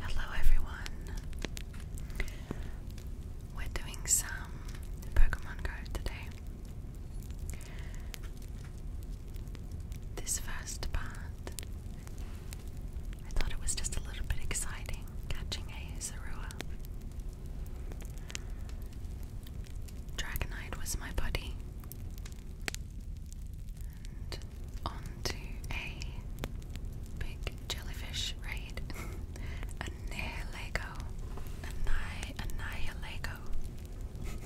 Hello everyone. We're doing some Pokemon Go today. This first part, I thought it was just a little bit exciting catching a Zorua. Dragonite was my buddy, onto a big jellyfish raid. Annihilego. Anni Annihilego.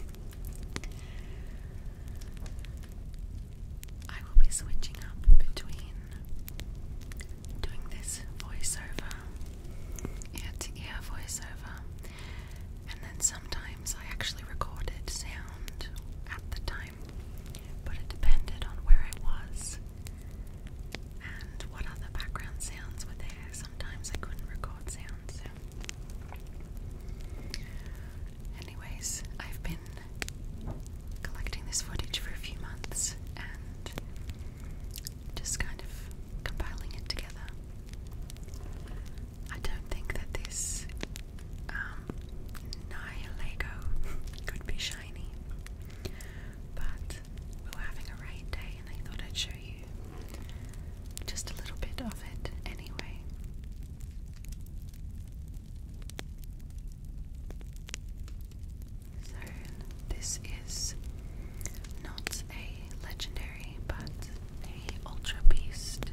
I will be switching up between doing this voiceover, ear to ear voiceover, and then sometimes I actually recorded sound at the time but it depended on where I was and what other background sounds were there. Sometimes I couldn't record sounds. Anyways, I've been collecting this footage for a few months and just kind of compiling it together. I don't think that this um, Nihilego could be shiny, but we were having a raid day and I thought I'd show you just a little bit of it anyway. So, this is not a legendary but a ultra beast.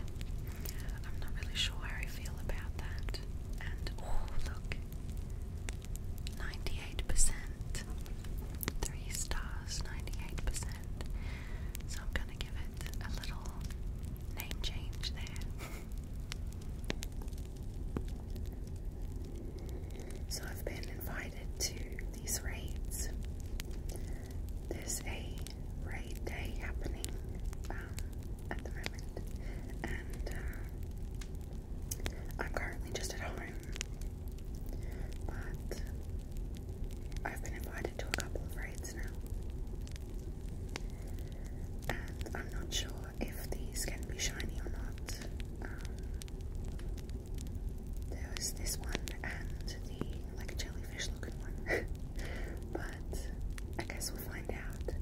I'm not really sure how I feel about that. And oh, look 98%, three stars, 98%. So I'm gonna give it a little name change there. So I've been invited to these raids. There's a raid day happening um, at the and uh, I'm currently just at home, but I've been invited to a couple of raids now, and I'm not sure if these can be shiny or not. Um, there was this one and the like jellyfish looking one, but I guess we'll find out.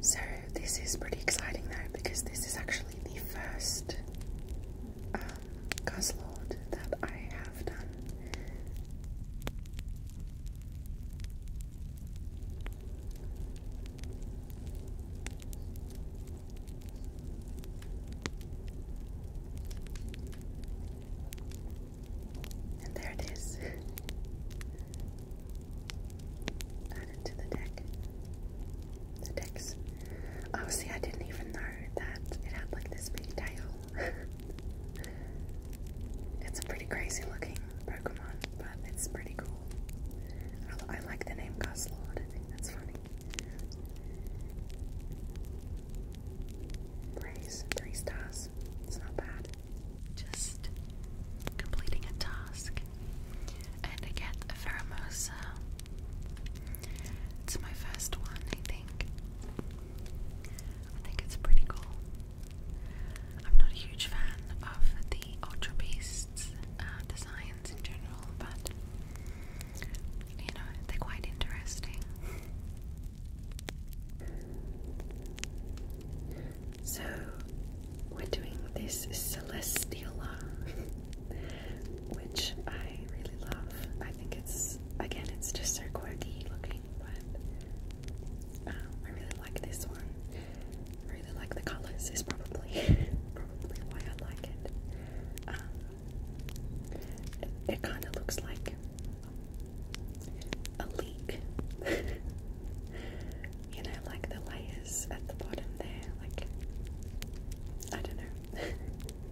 So, this is pretty exciting though because this is actually the first um, Guzzlord that I have done. And there it is. Added to the deck. The decks. Oh, I didn't even know that it had like this big tail. it's a pretty crazy looking Pokemon, but it's pretty cool. I, like the name Gustlord, I think that's funny three stars. It's not bad. Just completing a task. And I get a Faramosa. It's my first one, I think. I think it's pretty cool. I'm not a huge fan of the Ultra Beasts uh, designs in general, but you know, they're quite interesting. So, we're doing this Celestiola, which I really love. I think it's, again, it's just so quirky looking, but um, I really like this one. I really like the colours, is probably, probably why I like it. Uh, it, kind of looks like a leak. you know, like the layers at the bottom there, like I don't know.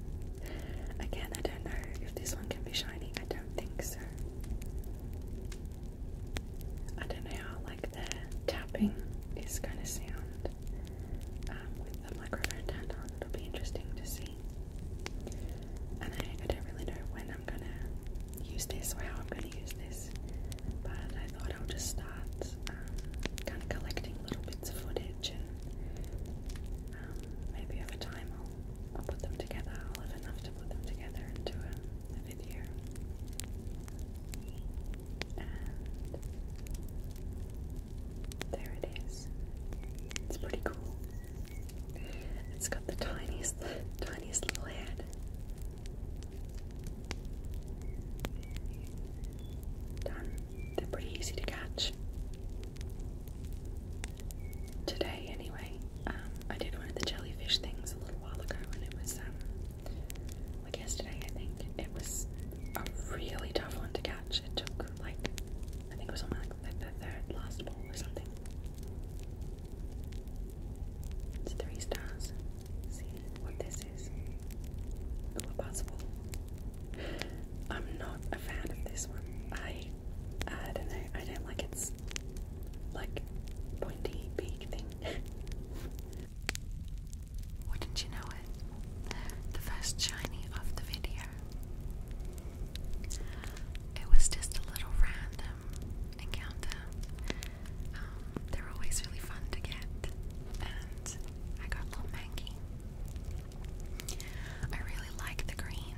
Again, I don't know if this one can be shiny. I don't think so. I don't know how like the tapping is gonna sound. Um, with the microphone turned on. It'll be interesting to see. And I, don't really know when I'm gonna use this or how I'm gonna use this, but I thought I'll just start um, kind of collecting little bits of footage and um, maybe over time I'll, put them together. I'll have enough to put them together and a video there it is. It's pretty cool. It's got the tiniest, tiniest little head. Done. They're pretty easy to catch. Today, anyway, um, I did one of the jellyfish things a little while ago, and it was um, like yesterday, I think. It was a really tough one to catch. It took like, I think it was only like the third last ball or something. It's three stars. See what this is. Ooh, a possible. I'm not a fan of this one. I, I don't know. I don't like its like pointy beak thing. Wouldn't you know it? The first shiny of the video. It was just a little random encounter. Um, they're always really fun to get, and I got a little manky. I really like the green,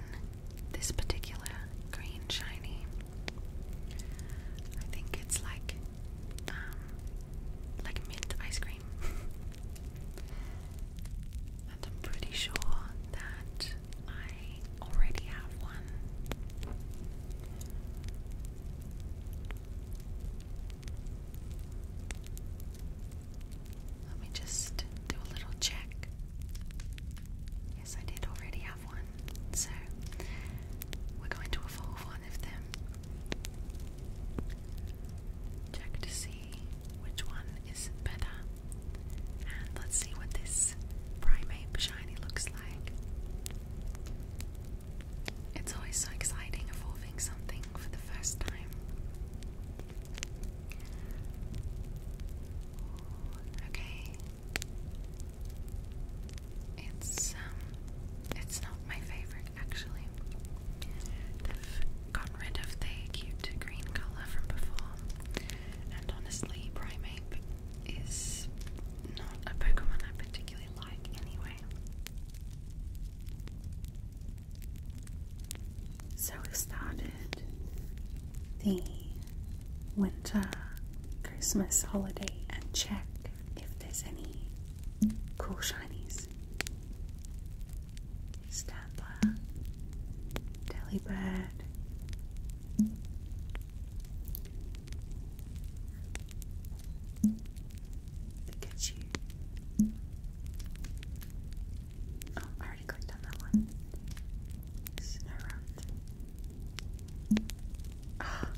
this particular green shiny. I think it's like, um, like mint ice cream. And I'm pretty sure that I already have one. Let me just do a little check. Yes, I did already have one. So we're going to evolve one one them. Check to see which one is better. And let's see what this primate shiny looks like. It's always so exciting evolving something for the first time. Okay. It's um it's not my favorite actually. They've gotten rid of the cute green colour from before, and honestly, Primeape is not a Pokemon I particularly like anyway. So we started the winter Christmas holiday and check if there's any cool shinies. Snapper, Delibird, Pikachu. Oh, I already clicked on that one. Snorunt. Ah,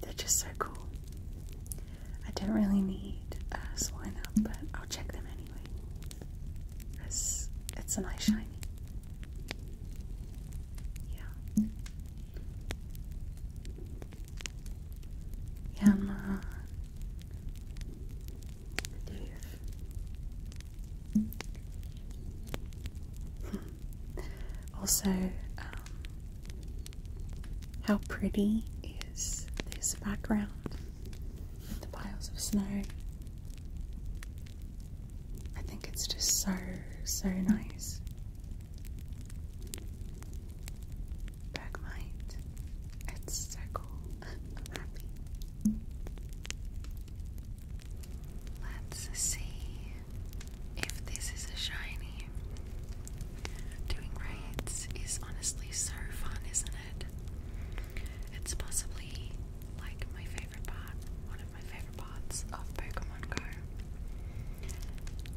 they're just so cool. I didn't really need uh, Selena, but I'll check them anyway. Cause it's a nice shiny. Yeah. Yeah, i also, um, how pretty is this background with the piles of snow? I think it's just so, so nice. Bergmite. It's so cool. Let's see if this is a shiny. Doing raids is honestly so fun, isn't it? It's possibly like my favorite part, one of my favorite parts of Pokemon Go.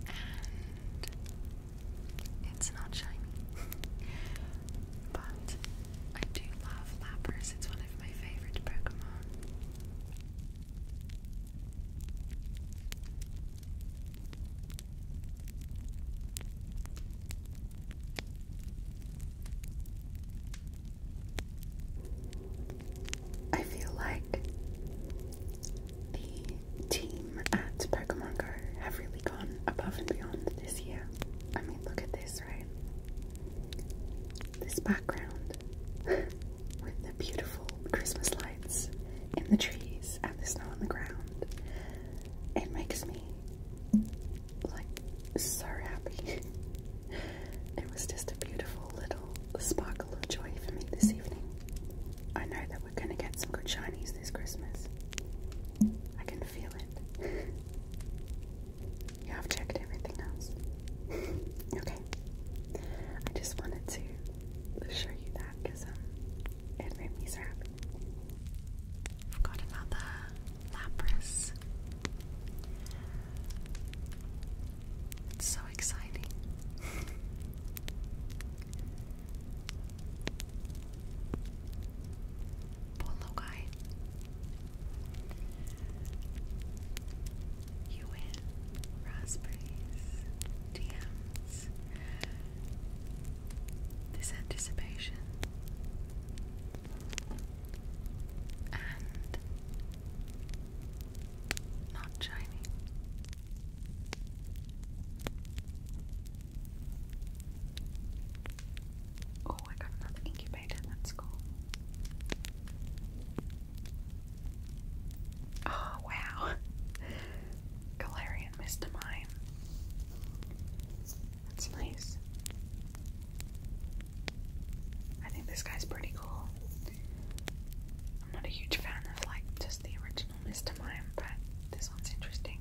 And it's not shiny. but I do love Lapras, it's one of my favorite Pokemon. I feel like the team at Pokemon Go have really gone above and beyond this year. I mean, look at this, right? This background with the beautiful Christmas lights in the trees and the snow on the ground it makes me like so happy. it was just a beautiful little sparkle of joy for me this evening. I know that we're going to get some good Chinese this Christmas. I can feel it. yeah, I've checked everything else. okay. I just wanted to show you that because um, it made me so happy. I've got another Lapras. so exciting. Poor guy. You win raspberries, DMs, this anticipation and not shiny. Oh, I got another incubator, that's cool. Oh, wow. Galarian Mr. Mime. That's nice. I think this guy's pretty cool. I'm not a huge fan of like just the original Mr. Mime, but this one's interesting.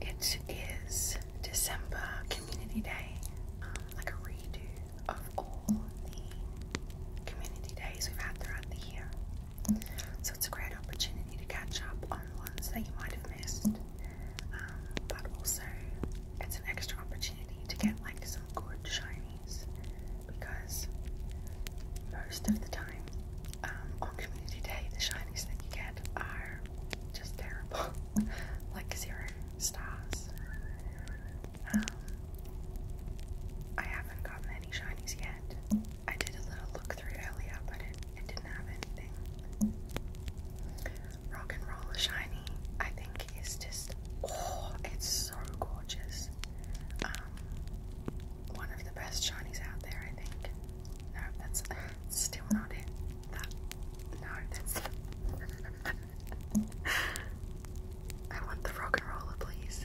It is December Community Day, um, like a redo of all the community days we've had throughout the year. So it's a great opportunity to catch up on the ones that you might have missed, um, but also it's an extra opportunity to get like some good shinies because most of the time um, on community day the shinies that you get are just terrible, like zero stars. Um, I haven't gotten any shinies yet. I did a little look through earlier, but it, didn't have anything. Rock and Roll Shiny, I think, is just oh, it's so gorgeous. Um, one of the best shinies out there, I think. No, that's still not it. no, that's I want the rock and roller, please.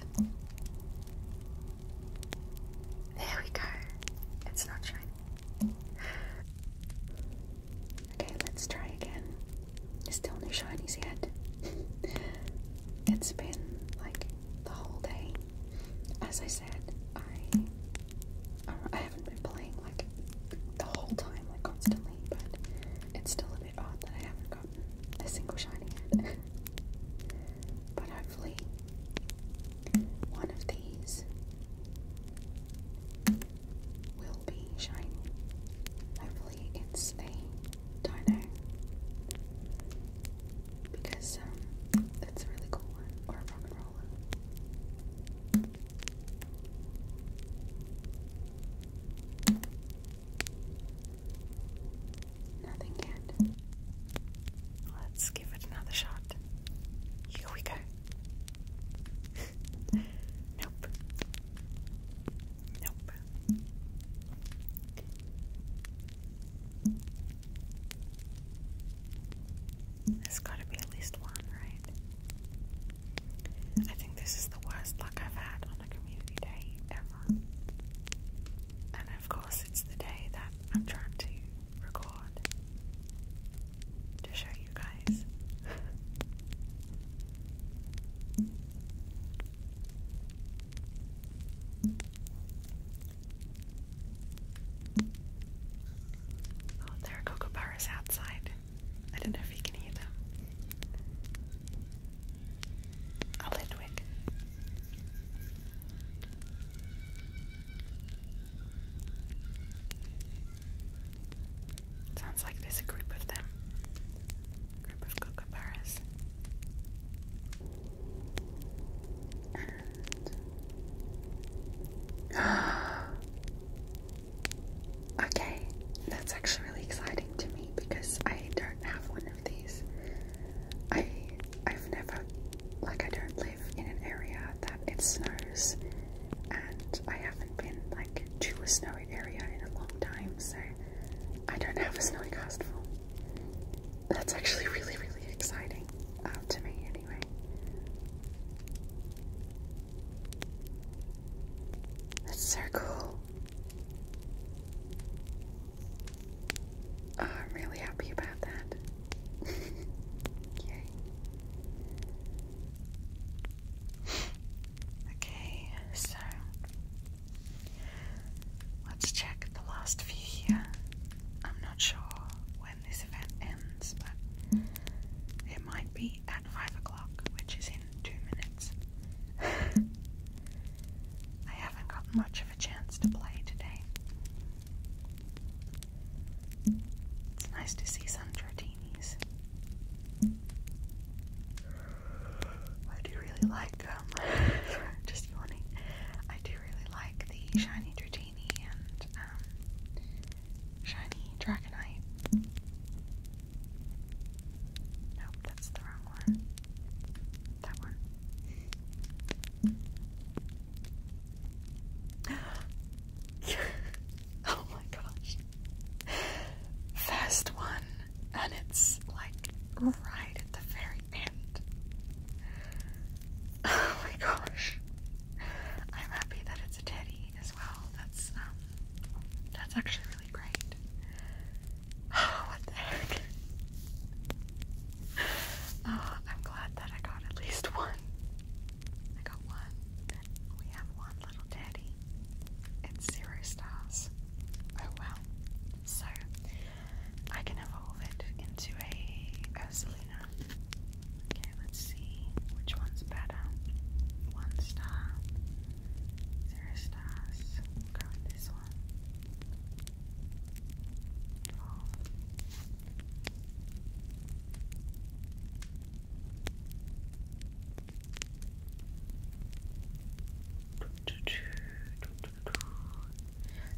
There we go. It's not shiny. Okay, let's try again. There's still no shinies yet. it's been like the whole day. As I said, I I haven't been playing like the whole time, like constantly, but it's still a odd that I haven't gotten a single shiny yet. but hopefully, one of these will be shiny. Hopefully, it's a dino. Because um, that's a really cool one, or a rock Nothing yet. Let's give it another shot. Here we go. nope. Nope. There's got to be at least one, right? I think this is the worst luck I've had on a community day ever. And of course, it's the day that I'm trying to record to show you guys. Oh, there are kookaburras outside. I don't know if you can hear them. A Litwick. Sounds like there's a group of them. Group of kookaburras. And Okay, that's actually really exciting to me because I don't have one of these. I I've never like I don't live in an area that it snows and I haven't been like to a snowy area in a long time, so I don't have a snowy castful. That's actually really, really exciting uh, to me anyway. That's so cool. Oh, I'm really happy about that. Yay. Okay, so let's check the last few here. I'm not sure when this event ends, but it might be at 5 o'clock, which is in two minutes. I haven't got much of a chance to play today. It's nice to see some Jordinis. I do really like um just yawning. I do really like the shiny tritini and um, shiny Dragonite. Nope, that's the wrong one. That one. oh my gosh. First one, and it's like right at the very end. Oh my gosh. I'm happy that it's a teddy as well. That's um that's actually Oh, what the heck? Oh, I'm glad that I got at least one. I got one. We have one little daddy. It's zero stars. Oh well. So I can evolve it into a Ursulina. Okay, let's see which one's better. One star. Sarah Stas. this one.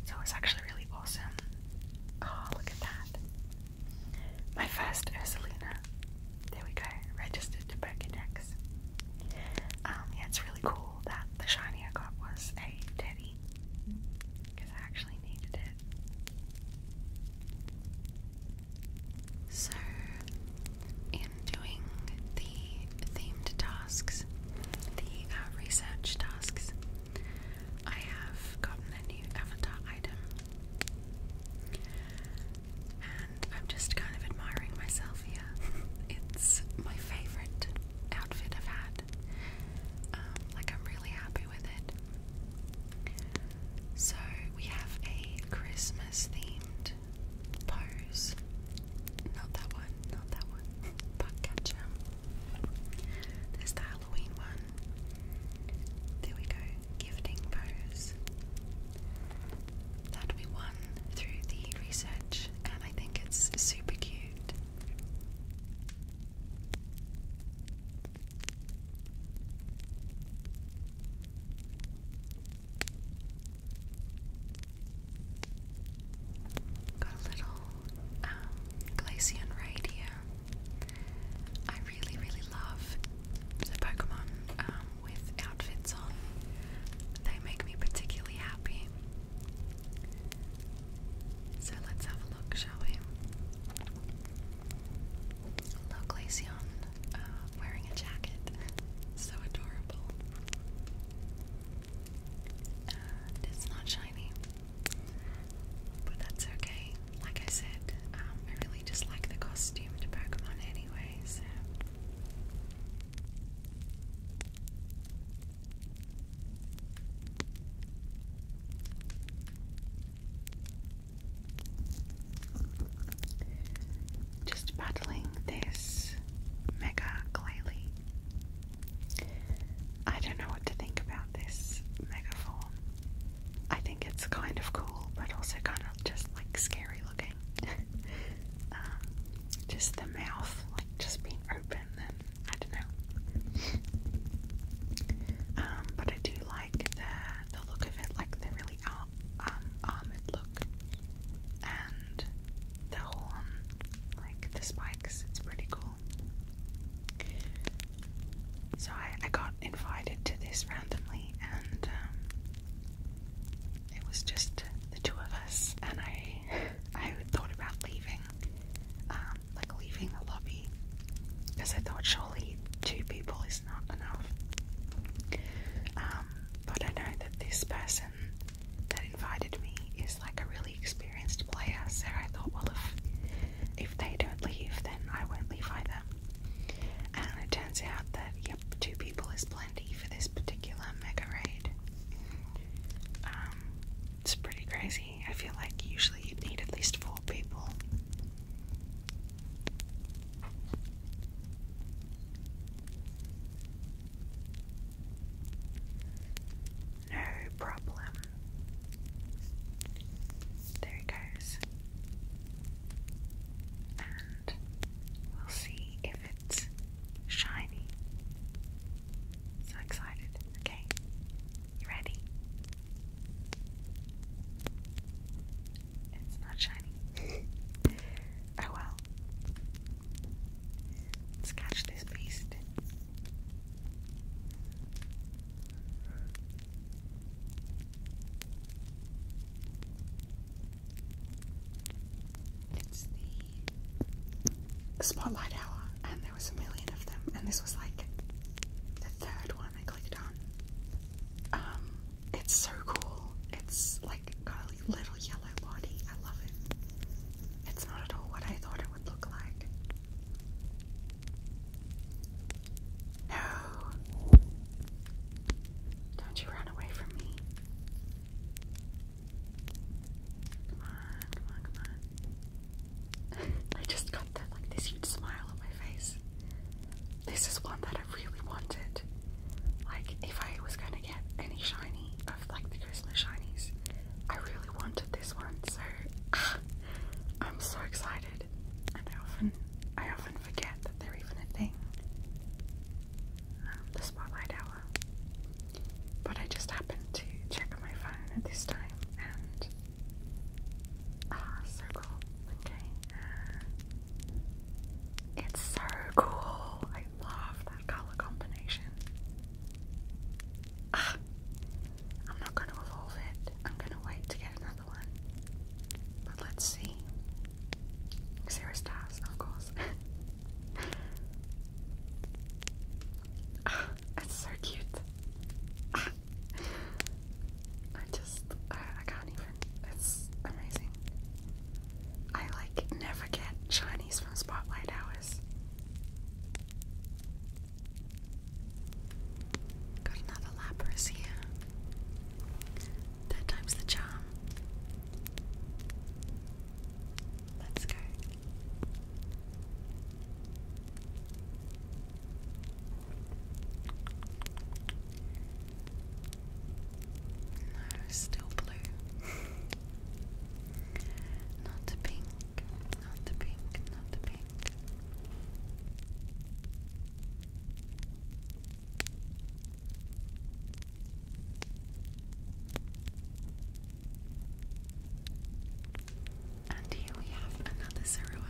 So it's actually really awesome. Oh, look at that. My first Ursulina. There we go. Registered to Birkinex. Um, yeah, it's really cool that the shiny I got was a teddy because I actually needed it. So, in doing the themed tasks, the uh, research tasks, I have gotten a new avatar item. I'm just kind of admiring myself here. it's my favorite outfit I've had. Um, like, I'm really happy with it. So, we have a Christmas themed pose. Not that one, not that one. Buckcatcher. There's the Halloween one. There we go. Gifting pose that we won through the research, and I think it's super cute. Got a little um, Glaceon right here. I really, really love the Pokemon um, with outfits on. They make me particularly happy. So let's have a look, shall we? La uh, wearing a jacket. so adorable. it's not shiny. But that's okay. Like I said, um, I really just like the costume Pokemon anyway, so just battling this mega Glalie. I don't know what to think about this mega form. I think it's kind of cool, but also kind of just like scary looking. Uh, just the mouth, like just being open, Then I don't know. Um, but I do like the the look of it, like the really arm, um, armored look, and the horn, like the spikes. It's pretty cool. So I, I got invited to this randomly, and um, it was just the two of us, and I, I thought about leaving, um, like leaving the lobby, because I thought surely two people is not enough. Um, but I know that this person that invited me is like a really experienced player, so I thought, well, if if they don't leave, then I won't leave either. And it turns out that two people is plenty for this particular mega raid. Um, it's pretty crazy. I feel like usually you'd need at least four people. No problem. There he goes we'll see if it's shiny. So excited. Okay, you ready? It's not shiny. oh well. Let's catch this beast. It's the Spotlight Hour, and there was a million of them, and this was like the third one I clicked on. Um, it's so cool. It's like got a little yellow body. I love it. It's not at all what I thought it would look like. No. Don't you run away from me. Come on, come on, come on. I just got that like this huge smile on my face. This is one that I really wanted. Like if I was gonna get any shiny of like the Christmas shinies, I really wanted this one, so I'm so excited. And I often I often forget that they're even a thing. Um, the spotlight hour but I just happened to check my phone at this time and. Ah, so cool. Uh, it's so cool. I love that color combination. Ah, I'm not going to evolve it. I'm going to wait to get another one. But let's see. Zero stars, of oh, it's so cute. I just, I, can't even. It's amazing. I like never get shinies from spotlight hours. Got another Lapras here. Third time's the charm. Let's go. No, still blue. not the pink, not the pink, not the pink. And here we have another Zorua.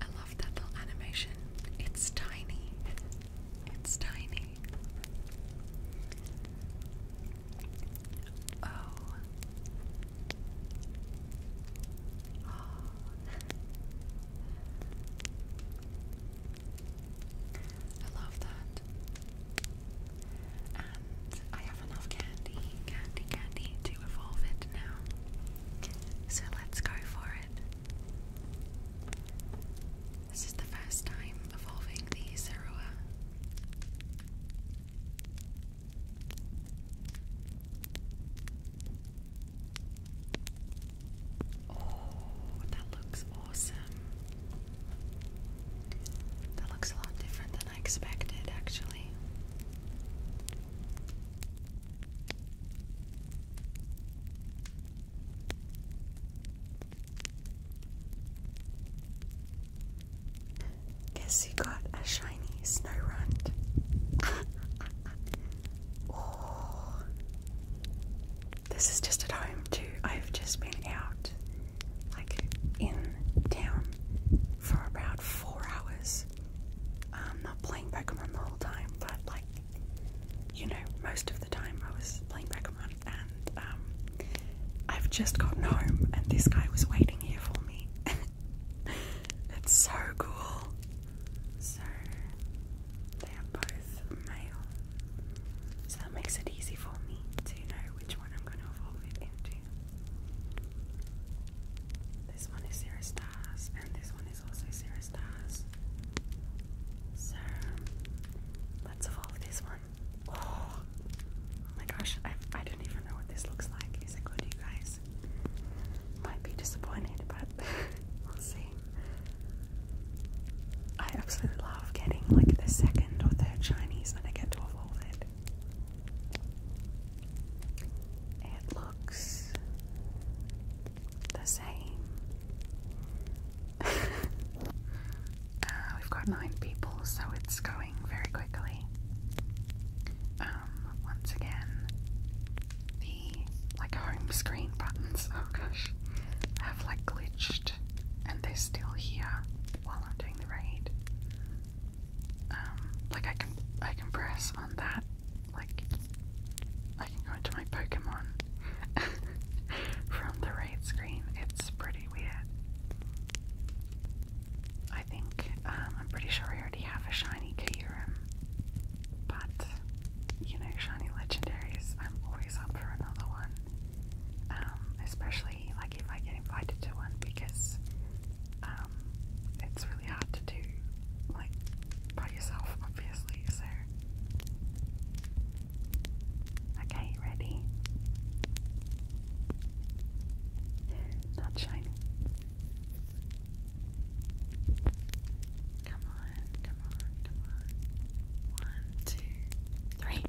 I love that little animation. It's tiny. It's tiny. Oh. Oh. I love that. And I have enough candy, candy, candy to evolve it now. So let's go for it. This is the first time evolving the Zerua. Oh, that looks awesome. That looks a lot different than I expected, actually. Guess you got a shiny snow runt. oh, this is just at home too. I've just been out, like in town, for about four hours. I'm um, not playing Pokemon the whole time, but like, you know, most of the time I was playing Pokemon, and um, I've just gotten home, and this guy was waiting here for me. it's so cool. So they are both male. So that makes it easy for me to know which one I'm going to evolve it into. This one is zero stars, and this one is also zero stars. So let's evolve this one. Oh, oh my gosh, I, I don't even know what this looks like. Is it good, you guys? Might be disappointed, but we'll see. I absolutely love getting like the second or third Chinese when I get to a it. It looks the same. Uh, we've got nine people, so it's going very quickly. Um, once again, the like home screen buttons. Oh gosh, have like glitched and they're still here while I'm doing the raid. Um, like I can I can press on that, like I can go into my Pokemon from the raid screen. It's pretty weird. I think um, I'm pretty sure I already have a shiny Kyurem, but you know, shiny legendaries. I'm always up for another one. Um, especially like if I get invited to one because um, it's really hard to do like by yourself, obviously. So, okay, ready? Not shiny. Come on,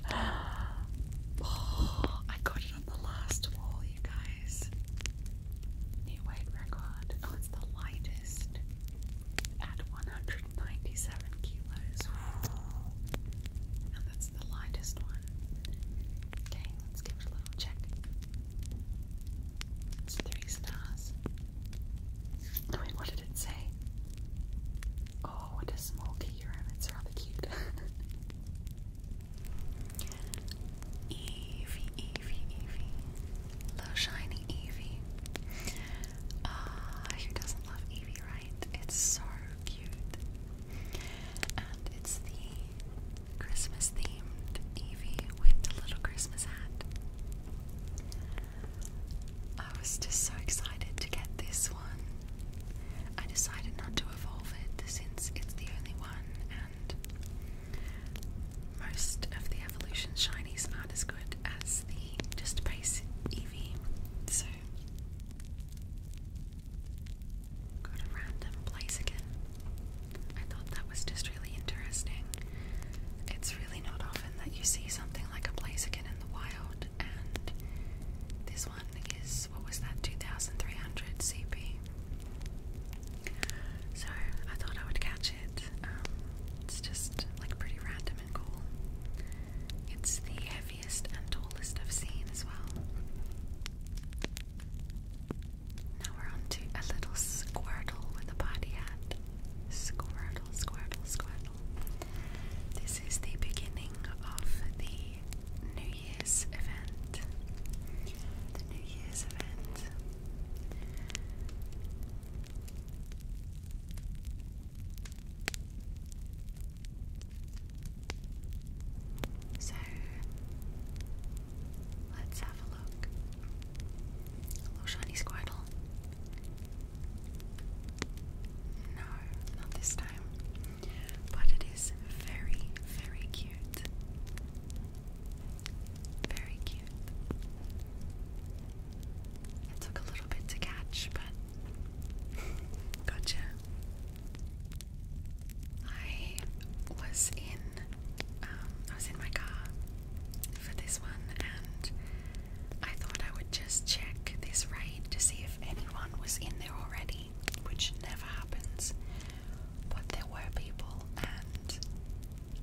Come oh, I got it on the last wall, you guys. New weight record. Oh, it's the lightest at 197 kilos. And that's the lightest one. Okay, let's give it a little check. It's three stars. Wait, what did it say? Oh, Oh, what a smoky urine. It's rather cute. Evie, Evie, Evie. Little shiny Evie. Ah, who doesn't love Evie, right? It's so cute. And it's the Christmas themed Evie with the little Christmas hat. I was just so excited to get this one. I decided not to evolve it since it's the only one, and most of the evolution shinies aren't as good as the just base Eevee. So, got a random place again. I thought that was just really interesting. It's really not often that you see something like a blaze again in the wild. And this one is what was that? 2300 CP. So I thought I would catch it. Um, it's just like pretty random and cool. It's the heaviest and tallest I've seen as well. Now we're on a little squirtle with a party hat. Squirtle, squirtle, squirtle. This this is the beginning of the New Year's event. The New Year's event. So let's have a look. little shiny Squirtle. No, not this time. But it is very, very cute. Very cute. It took a little bit to catch, but gotcha. I was in um, I was in my car for this one and I thought I would just check this raid to see if anyone was in there already, which never happens. But there were people, and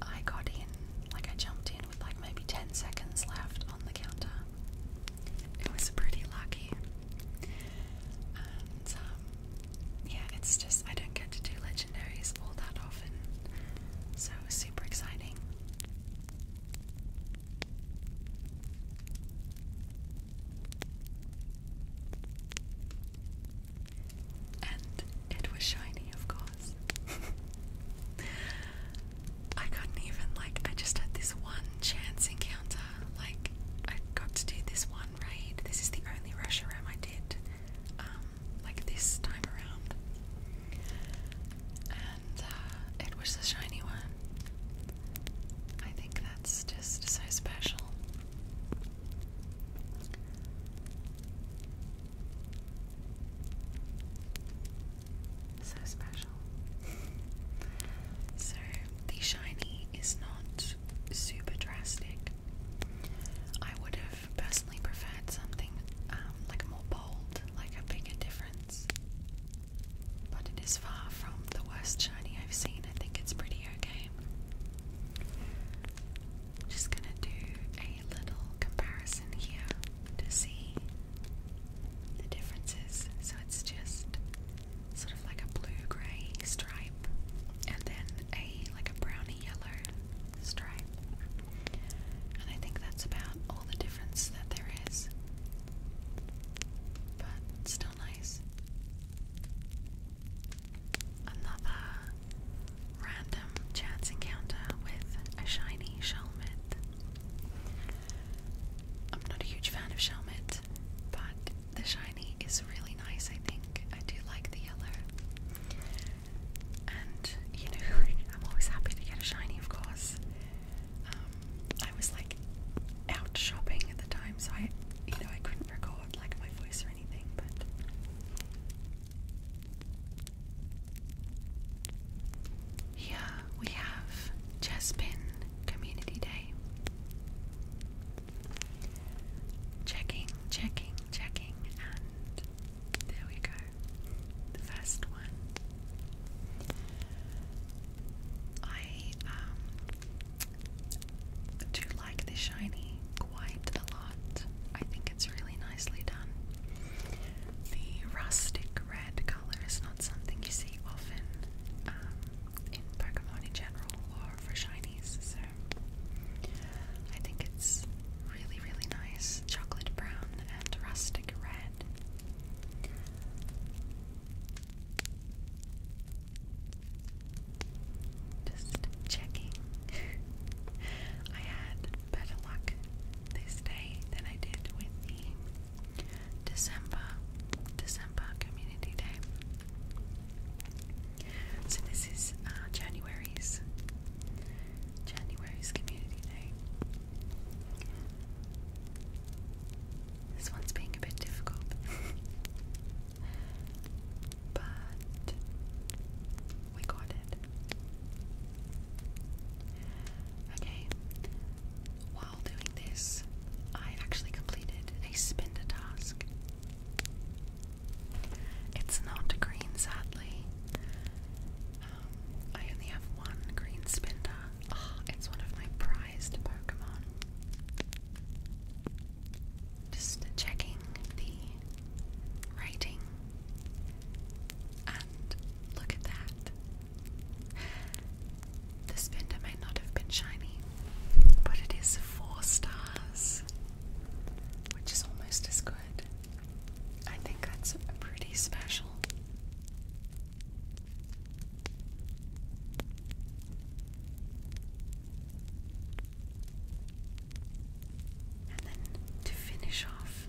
I got in, like, I jumped in with like maybe 10 seconds left on the counter. It was pretty lucky. And, um, yeah, it's just, I don't get to do legendaries all that often, so super exciting. And it was shiny, of course. I couldn't even, like, I just had this one chance encounter. Like, I got to do this one raid. This is the only rush room I did, um, like this time around. And uh, it was the shiny one. I think that's just so special. So special. so, the shiny is not super drastic. I would have personally preferred something um, like more bold, like a bigger difference. But it is far from the worst shiny I've seen. I think it's pretty okay. I'm just gonna do a little comparison here to see the differences. So it's just sort of like a blue-gray stripe and then a like a browny yellow stripe. And I think that's about all the difference that there is but still nice. Another random chance encounter with a shiny Shelmet. I'm not a huge fan of Shelmet, but the shiny is really nice, I think. I do like the yellow. And, you know, I'm always happy to get a shiny, of course. Um, I was like out shopping at the time, so I, you know, I couldn't record like my voice or anything, but. Here we have Chespin Community Day. Checking, checking, checking, and there we go. The first one I um, do like the shiny quite a lot. I think it's really nicely done. The rustic red color is not something you see often um, in Pokemon in general or for shinies, so I think it's really, really nice. Chocolate brown and rustic red. Just checking. I had better luck this day than I did with the December December Community Day. So this is uh, January's January's Community Day. This one's being a bit difficult. but we got it. Okay, while doing this, I actually completed a spinner task. It's not green, sadly. Um, I only have one green spinner, it's one of my prized Pokemon. Just checking the rating. And look at that. The spender may not have been shiny, but it is four stars, which is almost as good. I think that's pretty special. And then to finish off,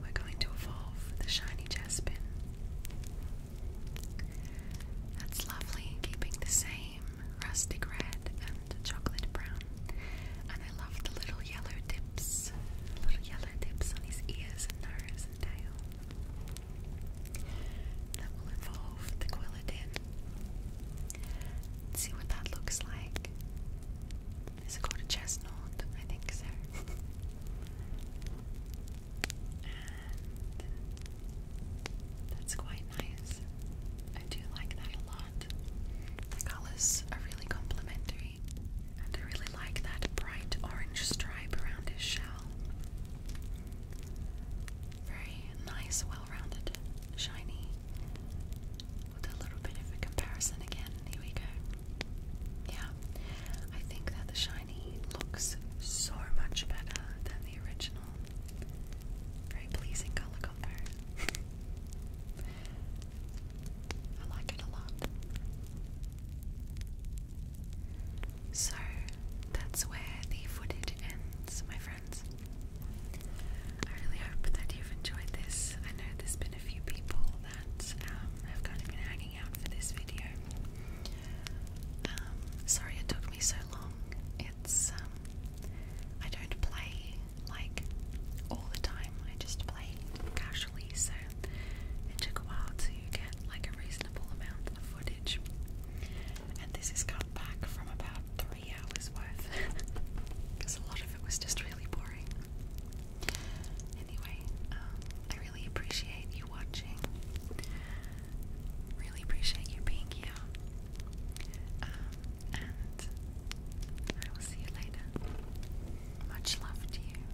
we're going to evolve the shiny jaspin. That's lovely, keeping the same rustic red and chocolate brown. And I love the little yellow dips, little yellow dips on his ears and nose and tail. That will involve the Quilladin. See what that looks like. Is it called a chestnut? I think so. that's quite nice. I do like that a lot. The colours are really complementary, and I really like that bright orange stripe around his shell. Very nice, well rounded, shiny. With a little bit of a comparison again, here we go. Yeah, I think that the shiny looks so much better than the original. Very pleasing color combo. I like it a lot. So that's where the footage ends, my friends. I really hope that you've enjoyed this. I know there's been a few people that um, have kind of been hanging out for this video. Um, sorry it took me so long. It's um, I don't play like all the time. I just play casually, so it took a while to get like a reasonable amount of footage. And this is cut back from about three hours worth because a lot of it was just really boring. Anyway, um, I really appreciate you watching. Really appreciate you being here. Um, and I will see you later. Much love to you.